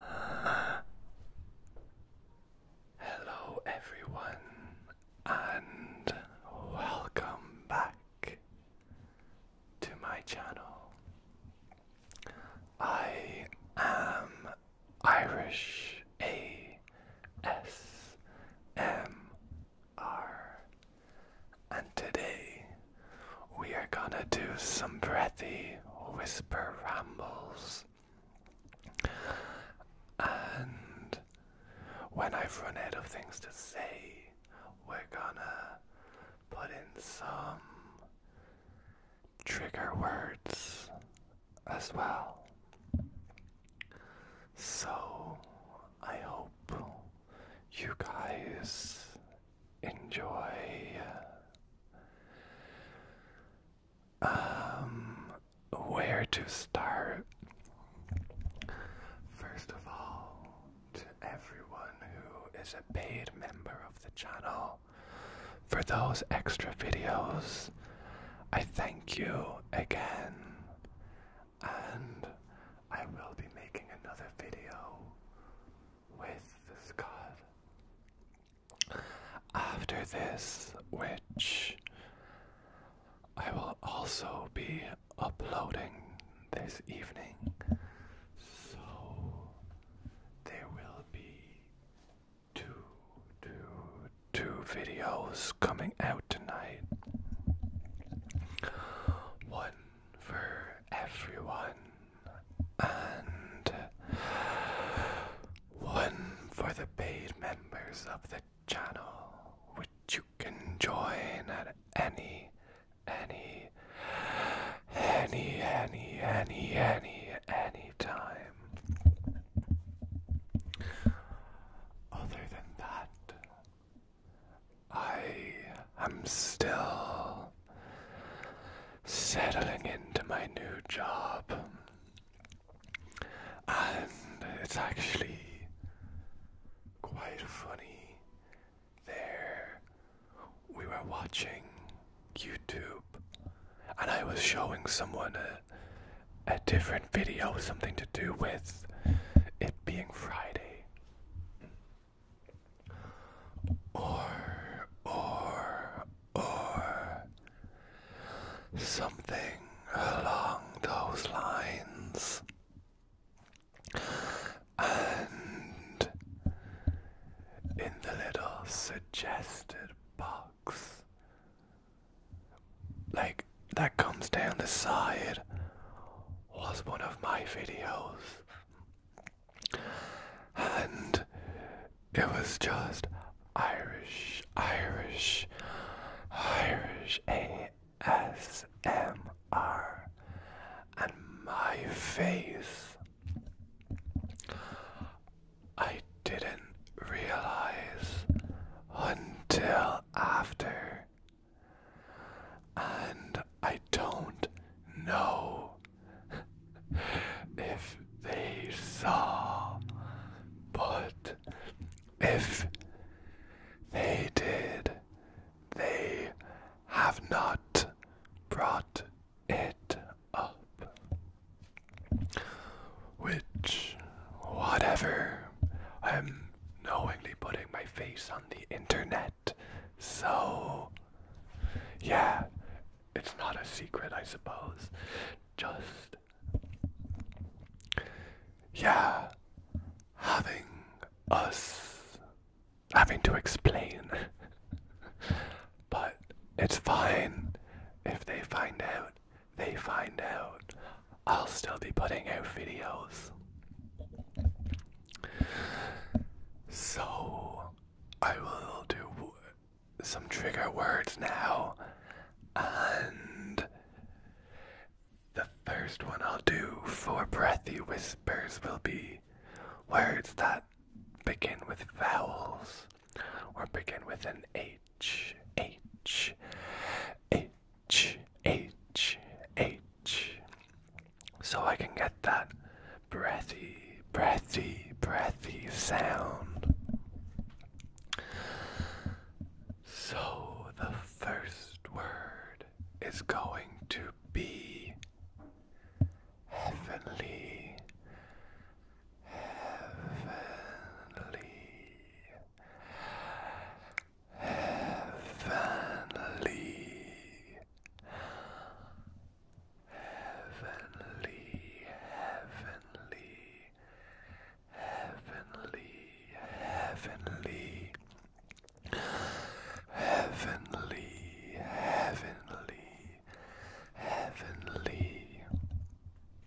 Hello, everyone, and welcome back to my channel. I am Irish A S M R, and today we are gonna do some breathy whisper rambles. And when I've run out of things to say, we're gonna put in some trigger words as well. So I hope you guys enjoy. Um, where to start? First of all, to everyone who is a paid member of the channel, for those extra videos, I thank you again. And I will be making another video with God. After this, which I will also be uploading this evening, so there will be two, two, two videos coming out tonight. One for everyone and one for the paid members of the channel, which you can join at any, any, any, any, any, any, any time. Other than that, I am still settling into my new job. And it's actually quite funny. There, we were watching YouTube, and I was showing someone a, a different video, something to do with it being Friday or, or, or something along those lines. And in the little suggested box, like that comes down the side was one of my videos. And it was just Irish, Irish, Irish ASMR. And my face. I didn't realize until after and I don't know if they saw, but if they did, they have not brought it up. Which, whatever, I'm knowingly putting my face on the internet. So, yeah, it's not a secret, I suppose. Just, yeah, having us having to explain. but it's fine. If they find out, they find out. I'll still be putting out videos. So, I will do some trigger words now, and the first one I'll do for breathy whispers will be words that begin with vowels or begin with an H. H. H. H H H. So I can get that breathy, breathy, breathy sound. So the first word is going to be heavenly. Heavenly heavenly, heavenly, heavenly, heavenly, heavenly. Heavenly, heavenly, heavenly,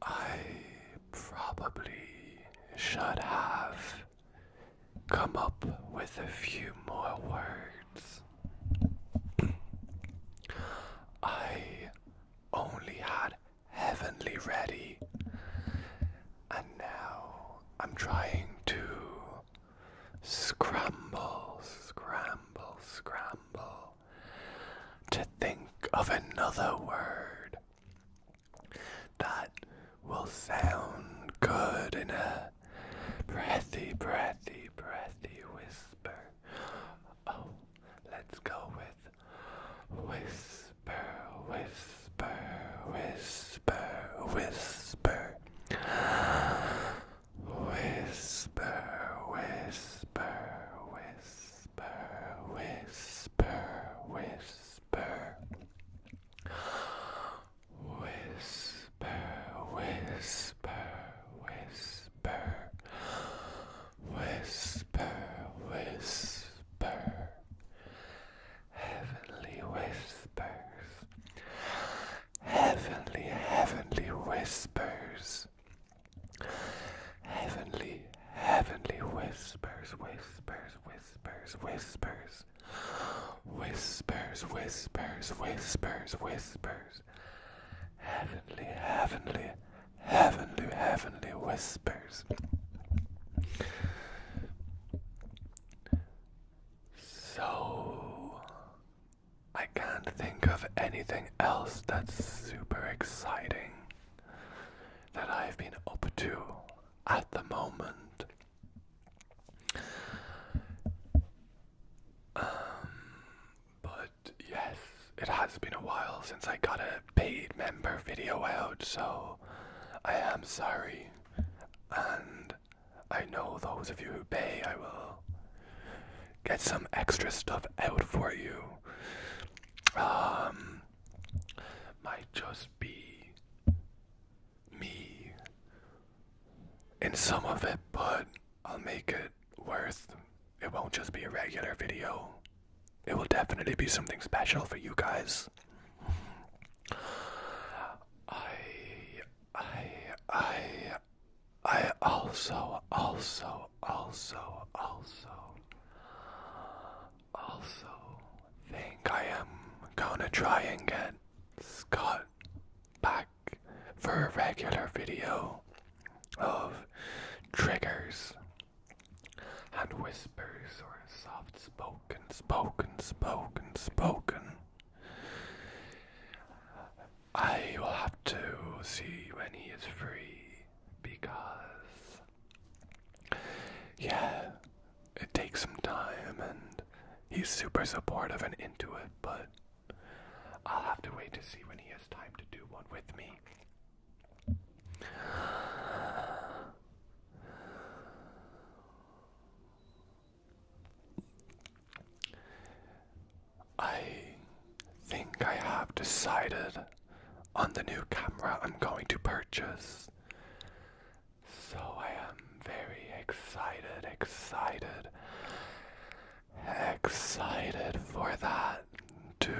I probably should have come up with a few more words. I only had heavenly ready, and now I'm trying to scramble, scramble, scramble to think of another word that will sound good in a breathy, breathy, breathy whisper. Oh, let's go with whisper, whisper, whisper, whisper. Whisper, whisper, whisper whisper, whisper, whisper. Whisper, whisper, whisper. Whisper, whisper. Heavenly whispers. Heavenly, heavenly whispers. Heavenly, heavenly whispers, whispers, whispers, whispers. Whispers, whispers, whispers, whispers. Heavenly, heavenly, heavenly, heavenly whispers. So, I can't think of anything else that's super exciting that I've been up to at the moment. Um, but yes, it has been a while since I got a paid member video out, so I am sorry. And I know those of you who pay, I will get some extra stuff out for you. Um, might just be me in some of it, but I'll make it worth. It won't just be a regular video. It will definitely be something special for you guys. I I I I also also also, also, also think I am gonna try and get Scott back for a regular video of triggers and whispers or soft spoken, spoken, spoken, spoken. I will have to see when he is free because, yeah, it takes some time and he's super supportive and into it, but I'll have to wait to see when he has time to do one with me. I think I have decided on the new camera I'm going to purchase. So I am very excited, excited, excited for that to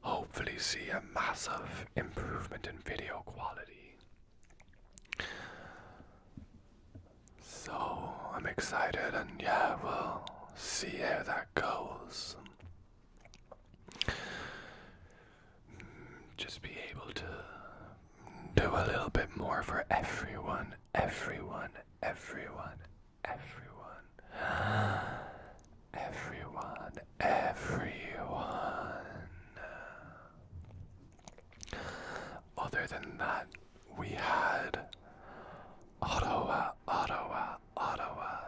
hopefully see a massive improvement in video quality. So I'm excited, and yeah, we'll see how that goes. Mm, just be able to do a little bit more for everyone, everyone, everyone, everyone, everyone, everyone. Other than that, we had Ottawa, Ottawa, Ottawa,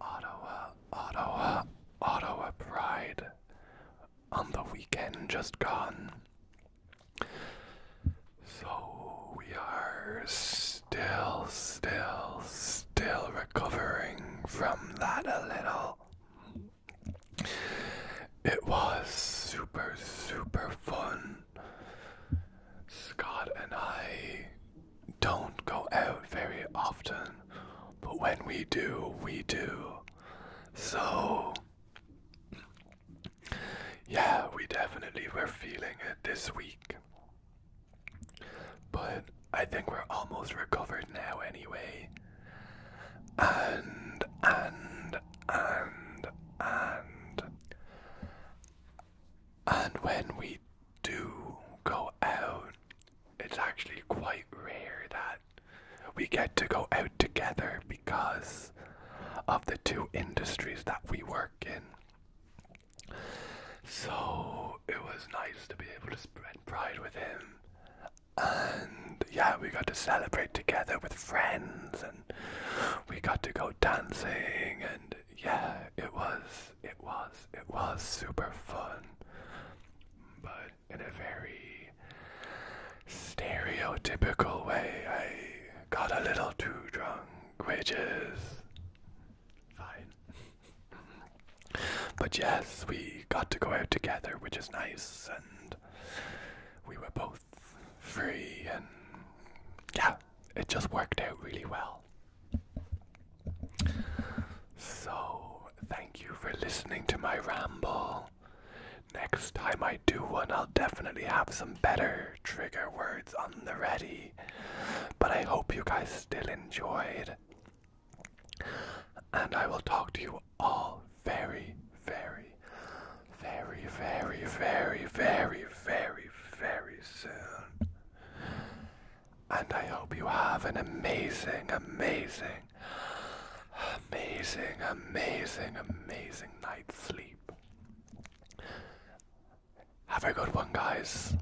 Ottawa, Ottawa, Ottawa Pride on the weekend just gone. So we are still, still, still recovering from that a little. It was super, super fun. Scott and I don't go out very often, but when we do, we do. So, yeah, we definitely were feeling it this week. But I think we're almost recovered now, anyway and and and and and when we do go out it's actually quite rare that we get to go out together because of the two industries that we work in so it was nice to be able to spread pride with him and yeah, we got to celebrate together with friends, and we got to go dancing, and yeah, it was, it was, it was super fun, but in a very stereotypical way, I got a little too drunk, which is fine but yes, we got to go out together, which is nice, and we were both free, and yeah, it just worked out really well. So, thank you for listening to my ramble. Next time I do one, I'll definitely have some better trigger words on the ready. But I hope you guys still enjoyed. And I will talk to you all very, very, very, very, very, very, very, very soon. And I hope you have an amazing, amazing, amazing, amazing, amazing night's sleep. Have a good one, guys.